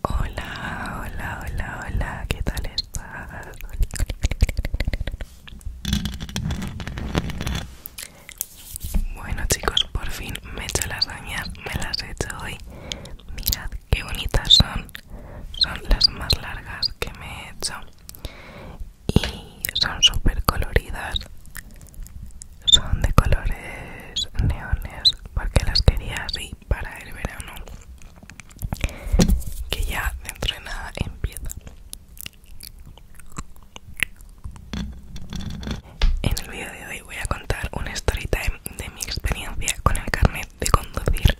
Hola, hola, hola, hola, ¿qué tal estás? Bueno chicos, por fin me he hecho añas, me las he hecho hoy. Mirad qué bonitas son, son las más largas que me he hecho y son súper coloridas son de colores neones porque las quería así para el verano que ya dentro de nada empieza en el vídeo de hoy voy a contar una story time de mi experiencia con el carnet de conducir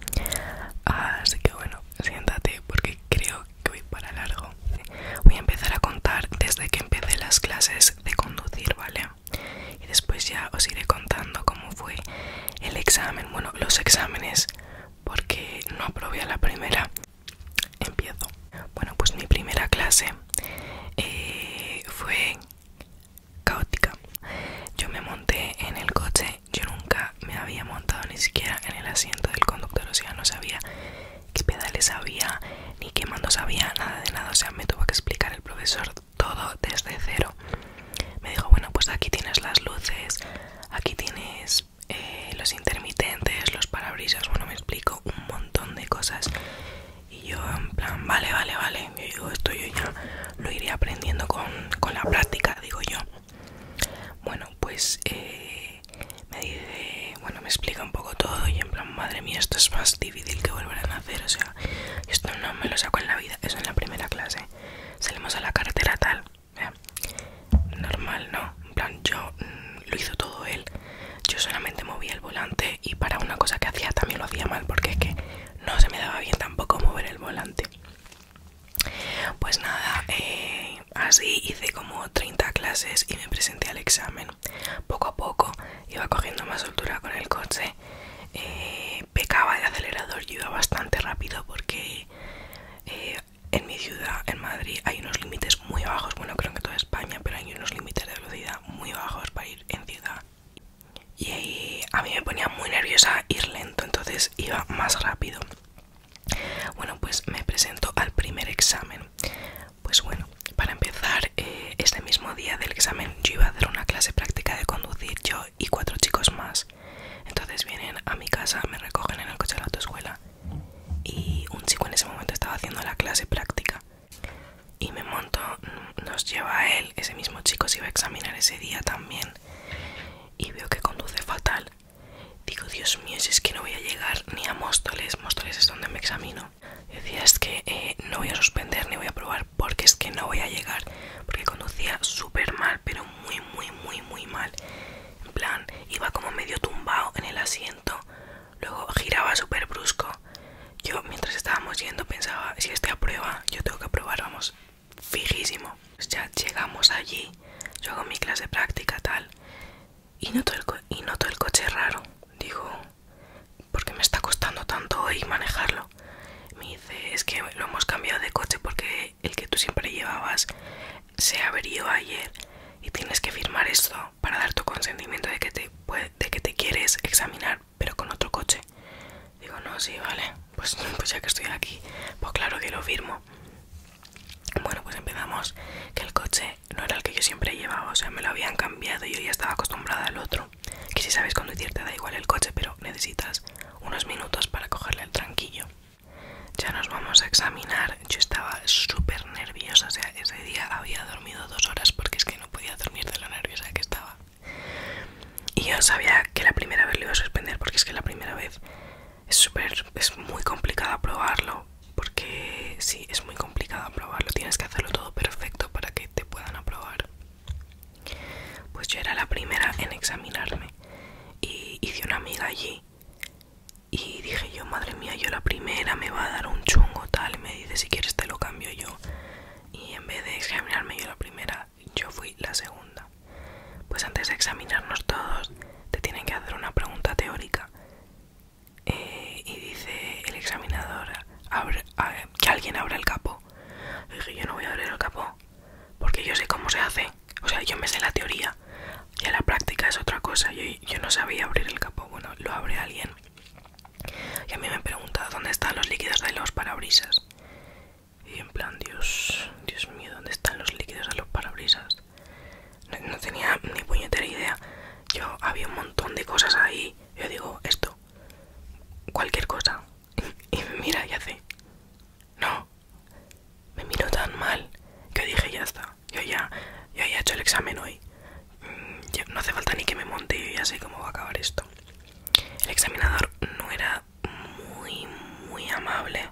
así que bueno siéntate porque creo que voy para largo voy a empezar a contar desde que empecé las clases de conducir, ¿vale? Y después ya os iré contando cómo fue el examen, bueno, los exámenes, porque no aprobé a la primera. Empiezo. Bueno, pues mi primera clase eh, fue caótica. Yo me monté en el coche, yo nunca me había montado ni siquiera en el asiento del conductor, o sea, no sabía qué pedales había, ni qué mando sabía, nada de nada. O sea, me tuvo que explicar el profesor todo desde cero. Me dijo, bueno, pues aquí tienes las luces, aquí tienes eh, los intermitentes, los parabrisas, bueno, me explico un montón de cosas. Y yo en plan, vale, vale, vale, yo digo, esto yo ya lo iré aprendiendo con, la práctica, digo yo. Bueno, pues eh, me dice bueno, me explica un poco todo y en plan, madre mía, esto es más difícil que volver a nacer, o sea, esto no me lo saco en la vida, eso en la primera clase. Salimos a la carretera tal, normal, ¿no? En plan, yo mm, lo hizo todo él, yo solamente movía el volante y para una cosa que hacía también lo hacía mal, porque es que no se me daba bien tampoco mover el volante. Pues nada, eh, así hice como 30 clases y me presenté al examen. Poco a poco iba cogiendo más altura con el coche, eh, pecaba de acelerador, y iba bastante rápido porque eh, en mi ciudad, en Madrid, hay unos límites muy bajos, bueno creo que toda España, pero hay unos límites de velocidad muy bajos para ir en ciudad. Y a mí me ponía muy nerviosa ir lento, entonces iba más rápido. Bueno, pues me presento al primer examen. Pues bueno, para empezar, eh, este mismo día del examen yo iba a hacer una clase práctica de conducir yo y cuatro chicos más. Entonces vienen a mi casa, me recogen en el coche de la autoescuela y un chico en ese momento estaba haciendo la clase práctica. Y me monto, mm, nos lleva a él, ese mismo chico se iba a examinar ese día también. Y veo que conduce fatal. Digo, Dios mío, si es que no voy a llegar ni a Móstoles. Móstoles es donde me examino decía, es que eh, no voy a suspender ni voy a probar porque es que no voy a llegar. Porque conducía súper mal, pero muy, muy, muy, muy mal. En plan, iba como medio tumbado en el asiento. Luego giraba súper brusco. Yo mientras estábamos yendo pensaba, si este aprueba, yo tengo que aprobar, vamos, fijísimo. Pues ya llegamos allí, yo hago mi clase de práctica tal. Y noto el, y noto el coche raro. Dijo porque me está costando tanto hoy manejarlo. Me dice, es que lo hemos cambiado de coche porque el que tú siempre llevabas se averió ayer y tienes que firmar esto para dar tu consentimiento de que te, de que te quieres examinar, pero con otro coche. Digo, no, sí, vale, pues, pues ya que estoy aquí, pues claro que lo firmo. Bueno, pues empezamos que el coche no era el que yo siempre llevaba, o sea, me lo habían cambiado y yo ya estaba acostumbrada al otro. Que si sabes conducir te da igual el coche, pero necesitas unos minutos para cogerle el tranquillo. Ya nos vamos a examinar. Yo estaba súper nerviosa, o sea, ese día había dormido dos horas porque es que no podía dormir de la nerviosa que estaba. Y yo sabía que la primera vez lo iba a suspender porque es que la primera vez es súper, es muy complicado probarlo porque sí, es muy complicado aprobarlo, tienes que hacerlo todo perfecto para que te puedan aprobar. Pues yo era la primera en examinarme y hice una amiga allí y dije yo, madre mía, yo la primera me va a dar un chungo tal, y me dice si quieres te lo cambio yo. Y en vez de examinarme yo la primera, yo fui la segunda. Pues antes de examinarnos todos, te tienen que hacer una pregunta teórica eh, y dice el examinador que alguien abra el capó. Yo dije, yo no voy a abrir el capó, porque yo sé cómo se hace. O sea, yo me sé la teoría, y la práctica es otra cosa. Yo, yo no sabía abrir el capó, bueno, lo abre alguien. Y a mí me pregunta, ¿dónde están los líquidos de los parabrisas? Y en plan, Dios, Dios mío, ¿dónde están los líquidos de los parabrisas? no, tenía ni puñetera idea. Yo había un montón de cosas ahí. Yo digo, esto, cualquier cosa. Y, me mira y hace, no, me miro tan mal. Que dije, ya está, yo ya, yo ya he hecho el examen hoy. Mm, no hace falta ni que me monte, y ya sé cómo va a acabar esto. El examinador no era muy, muy amable.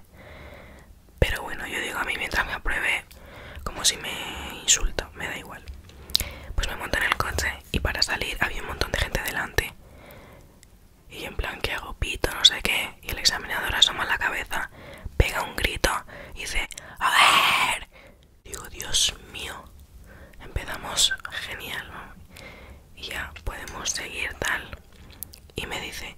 Pero bueno, yo digo a mí mientras me apruebe, como si me insulto, me da igual. Pues me monto en el coche y para salir había un montón de gente delante. Y en plan, que hago? Pito, no sé qué. Y el examinador asoma la cabeza, pega un grito y dice, ¡A ver! Digo, Dios mío. Empezamos genial, ¿no? Y ya podemos seguir tal. Y me dice,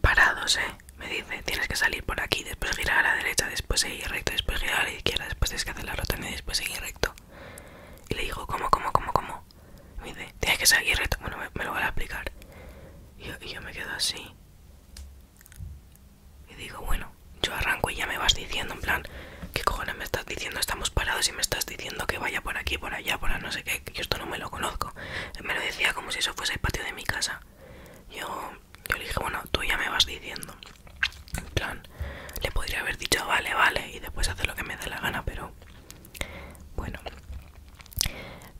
parados, ¿eh? me dice tienes que salir por aquí, después girar a la derecha, después seguir recto, después girar a la izquierda, después tienes que hacer la rota y después seguir recto. Y le digo, ¿cómo, cómo, cómo, cómo? Me dice, tienes que seguir recto. Bueno, me, lo van a explicar. Y yo, yo me quedo así. Y digo, bueno, yo arranco y ya me vas diciendo, en plan, ¿qué cojones me estás diciendo? Estamos parados y me estás diciendo que vaya por aquí, por allá, por no sé qué. Yo esto no me lo conozco. Me lo decía como si eso fuese el patio de mi casa. Yo yo le dije, bueno, tú ya me vas diciendo. En plan, le podría haber dicho, vale, vale, y después hacer lo que me dé la gana, pero bueno.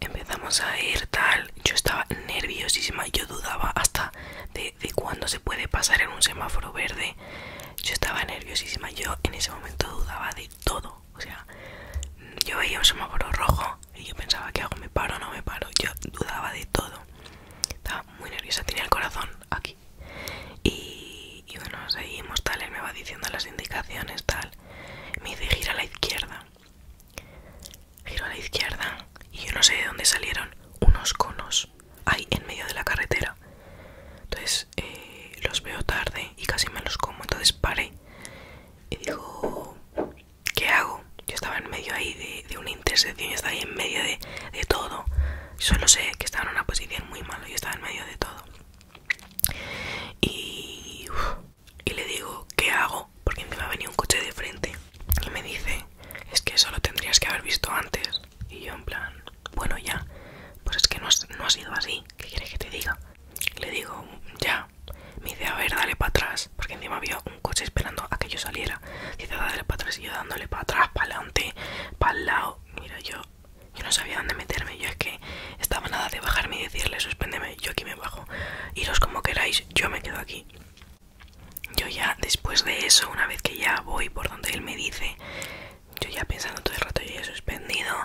Empezamos a ir tal, yo estaba nerviosísima, yo dudaba hasta de, de cuándo se puede pasar en un semáforo verde. Yo estaba nerviosísima, yo en ese momento dudaba de todo. O sea, yo veía un semáforo rojo y yo pensaba, que hago? ¿Me paro o no me paro? Yo dudaba de todo. Estaba muy nerviosa, tenía el corazón aquí. Y, bueno, seguimos tal, él me va diciendo las indicaciones, tal. Me dice, gira a la izquierda. Giro a la izquierda y yo no sé de dónde salieron unos conos ahí en medio de la carretera. Entonces eh, los veo tarde y casi me los como. Entonces paré y dijo... ¿qué hago? Yo estaba en medio ahí de, una intersección, yo estaba ahí en medio de, de todo. Solo sé que estaba en una posición muy mala, yo estaba en medio de todo. Y, le digo, ¿qué hago? Porque me a venir un coche de frente y me dice, es que eso lo tendrías que haber visto antes. Y yo en plan, bueno ya, pues es que no, no ha sido así, ¿qué quieres que te diga? Le digo, ya, mi Me dice, a ver, dale para atrás, porque encima había un coche esperando a que yo saliera. Dice, dale para atrás, y yo dándole para atrás, para adelante, para el lado. Mira, yo, yo no sabía dónde meterme. Yo es que estaba nada de bajarme y decirle, suspéndeme, yo aquí me bajo. Iros como queráis, yo me quedo aquí. Yo ya, después de eso, una vez que ya voy por donde él me dice, yo ya pensando todo el rato, yo ya he suspendido,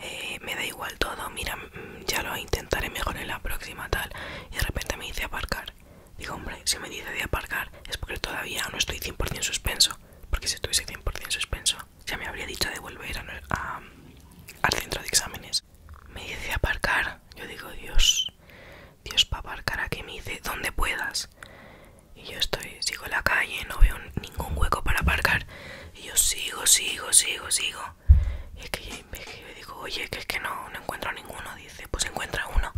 eh, me da igual todo, mira, ya lo intentaré mejor en la próxima tal. Y de repente me dice aparcar. Digo, hombre, si me dice de aparcar es porque todavía no estoy 100% suspenso. Porque si estuviese 100% suspenso, ya me habría dicho de volver a, al centro de exámenes. Me dice aparcar. Yo digo, Dios, Dios para aparcar ¿a que Me dice, donde puedas. Y yo estoy, sigo la calle, no veo ningún hueco para aparcar. Y yo sigo, sigo, sigo, sigo. Y es que yo me digo, oye, que es que no, no encuentro ninguno. Dice, pues encuentra uno.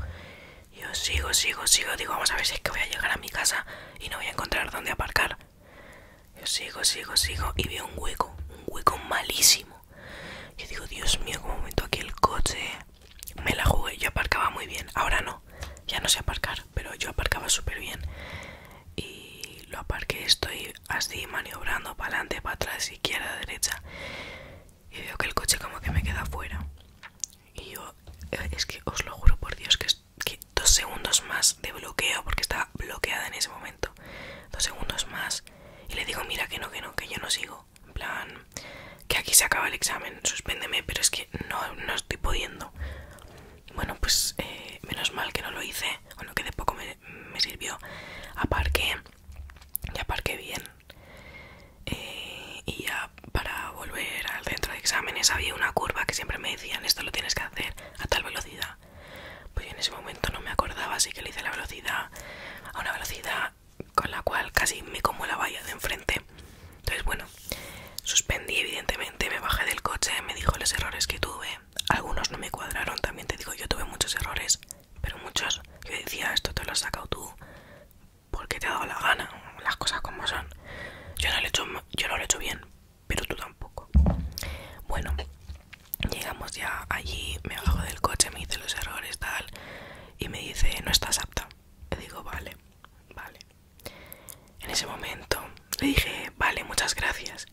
yo sigo, sigo, sigo. Digo, vamos a ver si es que voy a llegar a mi casa y no voy a encontrar dónde aparcar. Yo sigo, sigo, sigo. Y veo un hueco, un hueco malísimo. y digo, Dios mío, como meto aquí el coche. Me la jugué, yo aparcaba muy bien. Ahora no, ya no sé aparcar, pero yo aparcaba súper bien. Y lo aparqué, estoy así maniobrando para adelante, para atrás izquierda, derecha y veo que el coche como que me queda fuera. Y yo, eh, es que os lo juro por Dios que, dos segundos más de bloqueo, porque estaba bloqueada en ese momento, dos segundos más y le digo, mira que no, que no, que yo no sigo. En plan, que aquí se acaba el examen, suspéndeme, pero es que no, no estoy pudiendo. Bueno, pues eh, menos mal que no lo hice, o que de poco me, me sirvió. Aparqué, ya parqué bien eh, y ya para volver al centro de exámenes había una curva que siempre me decían esto lo tienes que hacer a tal velocidad pues yo en ese momento no me acordaba así que le hice la velocidad a una velocidad con la cual casi me como la valla de enfrente entonces bueno suspendí evidentemente me bajé del coche me dijo los errores que tuve algunos no me cuadraron también te digo yo tuve muchos errores pero muchos, yo decía, esto te lo has sacado tú porque te ha dado la gana, las cosas como son. Yo no lo he hecho, yo lo hecho bien, pero tú tampoco. Bueno, llegamos ya allí, me bajo del coche, me dice los errores, tal, y me dice, no estás apta. Le digo, vale, vale. En ese momento le dije, vale, muchas gracias.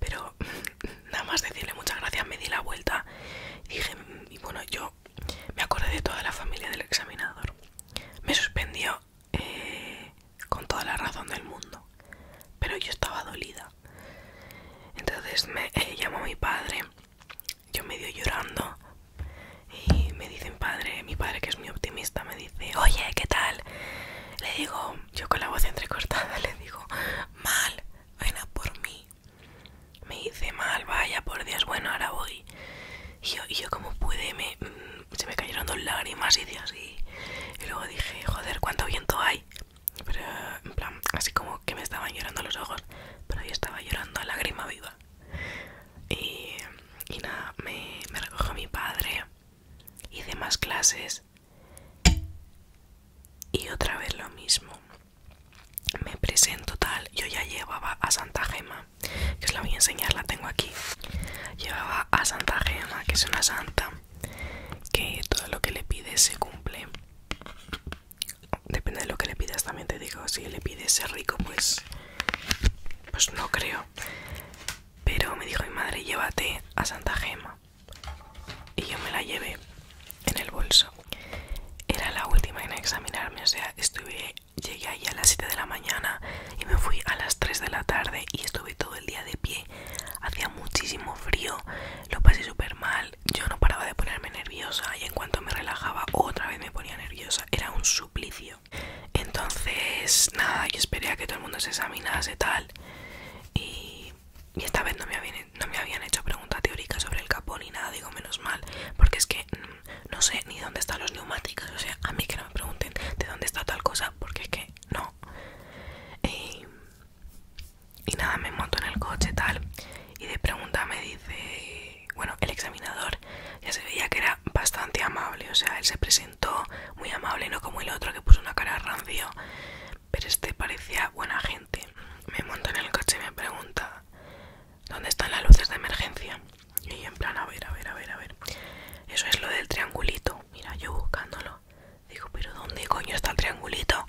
Pero nada más decirle muchas gracias, me di la vuelta. Y dije, y bueno, yo me acordé de toda la familia del examinador. Me suspendió eh, con toda la razón del mundo. Pero yo estaba dolida. Entonces me eh, llamó mi padre, yo medio llorando. Y me dice mi padre, mi padre que es muy optimista, me dice, oye, ¿qué tal? Le digo, yo con la voz entrecortada le digo, mal, vaya por mí. Me hice mal, vaya, por Dios, bueno, ahora voy. Y yo, como pude, mm, se me cayeron dos lágrimas y así. Y luego dije, joder, cuánto viento hay. Pero, en plan, así como que me estaban llorando los ojos. Pero yo estaba llorando a lágrima viva. Y, nada, me, me recogió mi padre. Hice más clases. Y otra vez lo mismo. Me presento tal, yo ya llevaba a Santa Gema, que os la voy a enseñar, la tengo aquí. Llevaba a Santa Gema, que es una santa, que todo lo que le pides se cumple. Depende de lo que le pidas, también te digo, si le pides ser rico, pues, pues no creo. Pero me dijo mi madre, llévate a Santa Gema y yo me la llevé en el bolso. Era la última en examinarme, o sea, estuve, llegué ahí a las 7 de la mañana y me fui a las 3 de la tarde y estuve todo el día de pie. Hacía muchísimo frío, lo pasé súper mal, yo no paraba de ponerme nerviosa y en cuanto me relajaba otra vez me ponía nerviosa, era un suplicio. Entonces, nada, yo esperé a que todo el mundo se examinase tal y y esta vez no me, habían, hecho pregunta teórica sobre el capón ni nada, digo menos mal, porque es que mm, no sé ni dónde están los neumáticos, o sea, a mí que no me pregunten de dónde está tal cosa, porque es que no. Y, y nada, me monto en el coche tal, y de pregunta me dice, bueno, el examinador ya se veía que era bastante amable, o sea, él se presentó muy amable, no como el otro que puso una cara rancio pero este parecía buena gente. Me montó en el coche y me pregunta, ¿dónde están las luces de emergencia? Y en plan, a ver, a ver, a ver, a ver. Eso es lo del triangulito. Mira, yo buscándolo. Digo, pero ¿dónde coño está el triangulito?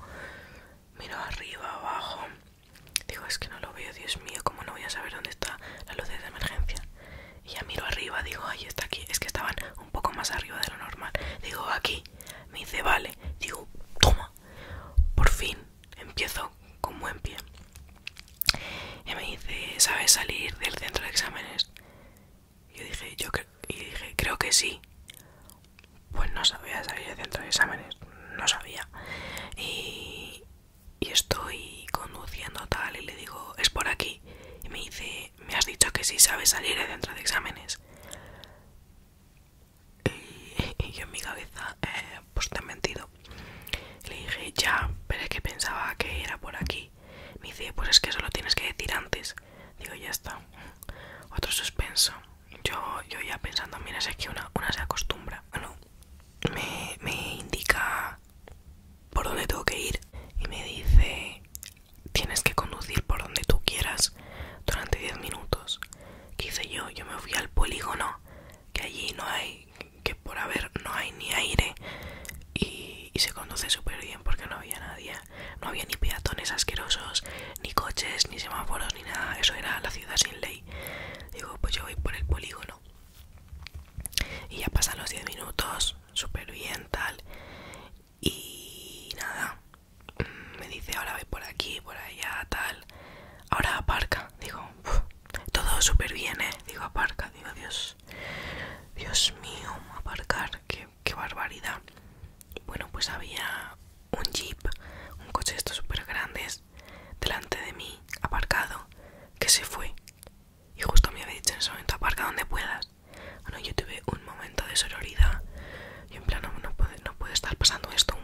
Miro arriba, abajo. Digo, es que no lo veo, Dios mío, ¿cómo no voy a saber dónde están las luces de emergencia? Y ya miro arriba, digo, ahí está aquí. Es que estaban un poco más arriba de lo normal. Digo, aquí. Me dice, vale. Digo, toma. Por fin empiezo con buen pie. Y me dice, ¿sabes salir del centro de exámenes? Yo dije, yo creo que sí. Pues no sabía salir del centro de exámenes. No sabía. Y, y estoy conduciendo tal y le digo, es por aquí. Y me dice, me has dicho que sí sabes salir de dentro de exámenes. Y, yo en mi cabeza, eh, pues te he mentido. Le dije, ya, pero es que pensaba que era por aquí. Me dice, pues es que eso lo tienes que decir antes. Digo, ya está. Otro suspenso. Yo, ya pensando, mira, es que una, se acostumbra. me, me indica por dónde tengo que ir y me dice, Tienes que conducir por donde tú quieras durante 10 minutos. ¿Qué hice yo? Yo me fui al polígono, que allí no hay, que por haber no hay ni aire y, se conduce súper bien porque no había nadie, no había ni peatones asquerosos, ni coches, ni semáforos, ni nada. Eso era la ciudad sin ley. Digo, pues yo voy por el polígono. Y ya pasan los 10 minutos, súper bien, tal. Y nada, mm, me dice ahora ve por aquí, por allá, tal. Ahora aparca, digo, todo súper bien, ¿eh? Digo, aparca, digo, Dios, Dios mío, aparcar, qué, qué barbaridad. Bueno, pues había un jeep, un coche de estos súper grandes, delante de mí, aparcado, que se fue. Y justo me había dicho en ese momento, aparca donde puedas yo tuve un momento de sororidad. Yo en plan, no, puede, estar pasando esto.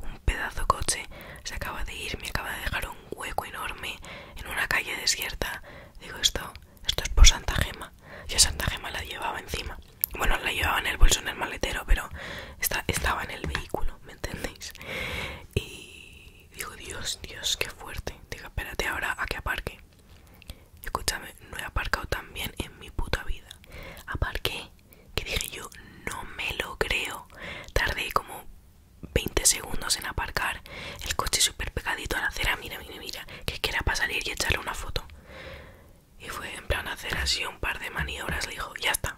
Un, pedazo coche se acaba de ir, me acaba de dejar un hueco enorme en una calle desierta. Digo, esto, esto es por Santa Gema. Yo Santa Gema la llevaba encima. Bueno, la llevaba en el bolso, en el maletero, pero estaba en el vehículo, ¿me entendéis? Y digo, Dios, Dios, qué fuerte. Digo, espérate ahora a que aparque. Escúchame, no he aparcado tan bien en mi puta vida. Aparqué, que dije yo, no me lo creo. Tardé como 20 segundos en aparcar, el coche súper pegadito a la acera, mira, mira, mira, que quiera pasar y echarle una foto. Y fue en plan hacer así un par de maniobras, le dijo, ya está.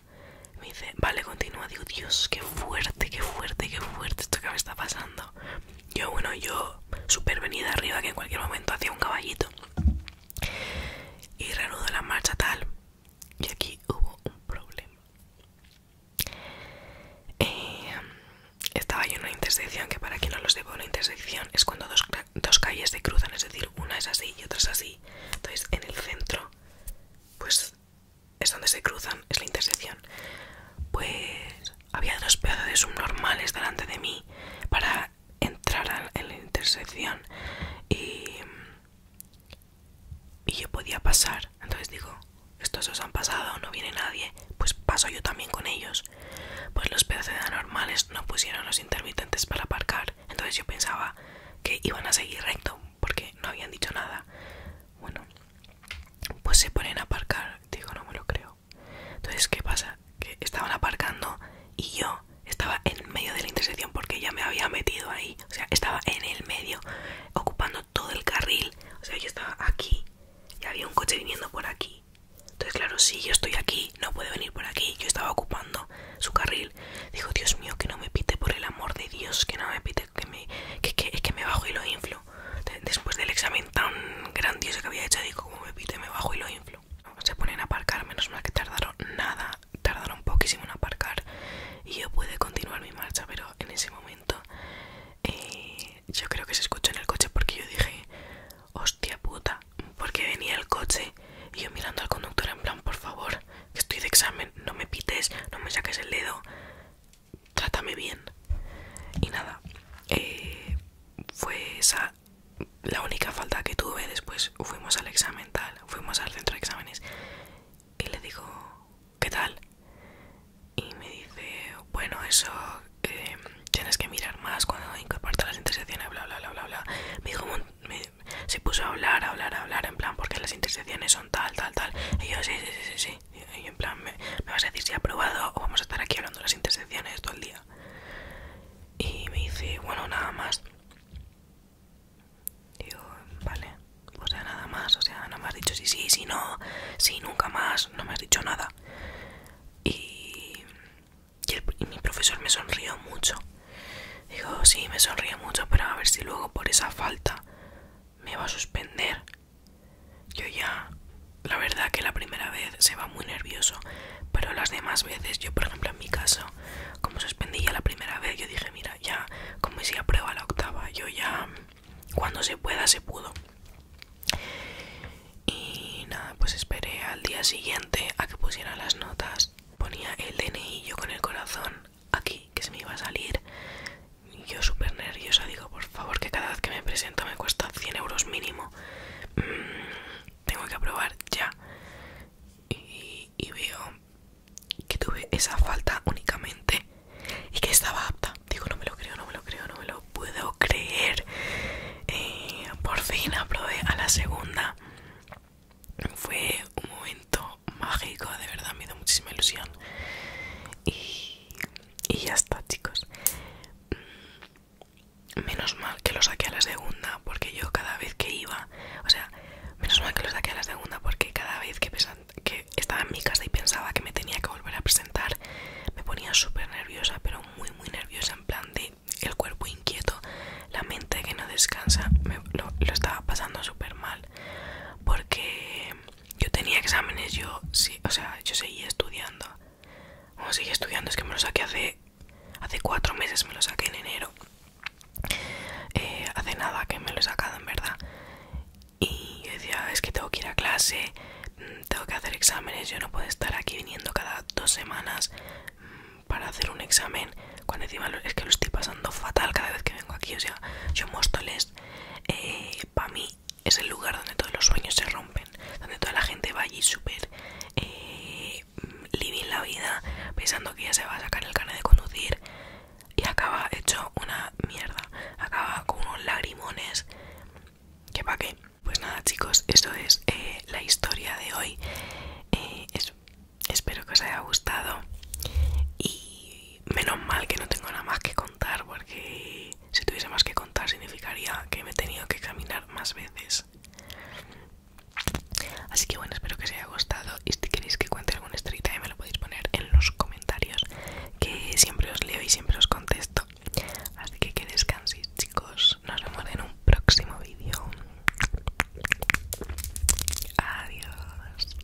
Me dice, vale, continúa. Digo, Dios, qué fuerte, qué fuerte, qué fuerte esto que me está pasando. Yo, bueno, yo super arriba que en cualquier momento hacía un caballito. Y reanudó la marcha tal. Y aquí hubo un problema. Eh, estaba yo en una intersección que para quien no lo sepa, una intersección es cuando dos, dos calles se cruzan, es decir, una es así y otra es así. Entonces en el centro, pues es donde se cruzan, es la intersección. Pues había dos pedazos de subnormales delante de mí para entrar en la intersección y, yo podía pasar. Entonces digo, estos os han pasado, no viene nadie, pues paso yo también con ellos. Pues los pedazos de anormales no pusieron los intermitentes para aparcar. Entonces yo pensaba que iban a seguir recto porque no habían dicho nada. Bueno, pues se ponen a aparcar. Digo, no me lo creo. Entonces, ¿qué pasa? Que estaban aparcando y yo estaba en medio de la intersección porque ya me había metido ahí. O sea, estaba en el medio, ocupando todo el carril. O sea, yo estaba aquí y había un coche viniendo por aquí. Entonces, claro, si yo estoy aquí, no puede venir por aquí. Yo estaba ocupando su carril. Dijo, Dios mío, que no me pite por el amor de Dios, que no me pite, que me, que, que me bajo y lo inflo. Después del examen tan grandioso que había hecho, digo, como me pite, me bajo y lo inflo. Se ponen a aparcar, menos mal que tardaron nada, tardaron poquísimo en aparcar y yo pude continuar mi marcha, pero en ese momento eh, yo creo que se escuchó en el coche porque yo dije, hostia puta, porque venía el coche y yo mirando al conductor en plan, por favor, que estoy de examen, no me pites, no me saques el dedo trátame bien. Y nada, eh, fue esa la única falta que tuve. Después fuimos al examen tal, fuimos al centro de exámenes y le digo, ¿qué tal? Y me dice, bueno, eso eh, tienes que mirar más cuando incorporas las intersecciones, bla, bla, bla, bla, bla. Me dijo, se puso a hablar, a hablar, a hablar, en plan, porque las intersecciones son tal, tal, tal. Y yo, sí, sí, sí, sí. Y en plan, me, vas a decir si ha probado o vamos a estar aquí hablando de las intersecciones todo el día. Y me dice, bueno, nada más. Digo, vale, o sea, nada más, o sea, no me has dicho si sí, si no, si nunca más, no me has dicho nada. Y, mi profesor me sonrió mucho. Digo, sí, me sonrió mucho, pero a ver si luego por esa falta me va a suspender. Yo ya, la verdad que la primera vez se va muy nervioso, pero las demás veces, yo por ejemplo en mi caso, como suspendí ya la primera vez, yo dije, mira, ya, como si prueba la octava, yo ya, cuando se pueda, se pudo. Y nada, pues esperé al día siguiente a que pusieran las notas. Ponía el DNI yo con el corazón aquí, que se me iba a salir yo súper nerviosa digo por favor que cada vez que me presento me cuesta 100 euros mínimo mm, tengo que aprobar ya y, veo que tuve esa falta únicamente y que estaba apta digo no me lo creo no me lo creo no me lo puedo creer eh, por fin aprobé a la segunda fue un momento mágico de verdad me dio muchísima ilusión y, y ya está chicos menos mal que lo saqué a la segunda porque yo cada vez que iba o sea menos mal que lo saqué a la segunda porque cada vez que, estaba en mi casa y pensaba que me tenía que volver a presentar me ponía súper nerviosa pero muy muy nerviosa en plan de el cuerpo inquieto la mente que no descansa lo, lo estaba pasando súper mal porque yo tenía exámenes, yo sí, o sea, yo seguía estudiando. como seguía estudiando, es que me lo saqué hace, hace cuatro meses, me lo saqué en enero. Eh, hace nada que me lo he sacado, en verdad. Y yo decía, es que tengo que ir a clase, mm, tengo que hacer exámenes, yo no puedo estar aquí viniendo cada dos semanas mm, para hacer un examen. Cuando encima es que lo estoy pasando fatal cada vez que vengo aquí, o sea, yo Móstoles, eh, para mí es el lugar donde todos los sueños se rompen, donde toda la gente va allí súper eh, living la vida, pensando que ya se va a sacar el carnet de conducir y acaba hecho una mierda, acaba con unos lagrimones. ¿Qué pa' qué? Pues nada chicos, eso es eh, la historia de hoy. Eh, espero que os haya gustado. Y menos mal que no tengo nada más que contar porque si tuviese más que contar significaría que me he tenido que caminar más veces. Así que bueno, espero que os haya gustado y si queréis que cuente alguna story ya me lo podéis poner en los comentarios que siempre os leo y siempre os contesto. Así que que descanséis chicos, nos vemos en un próximo vídeo. Adiós.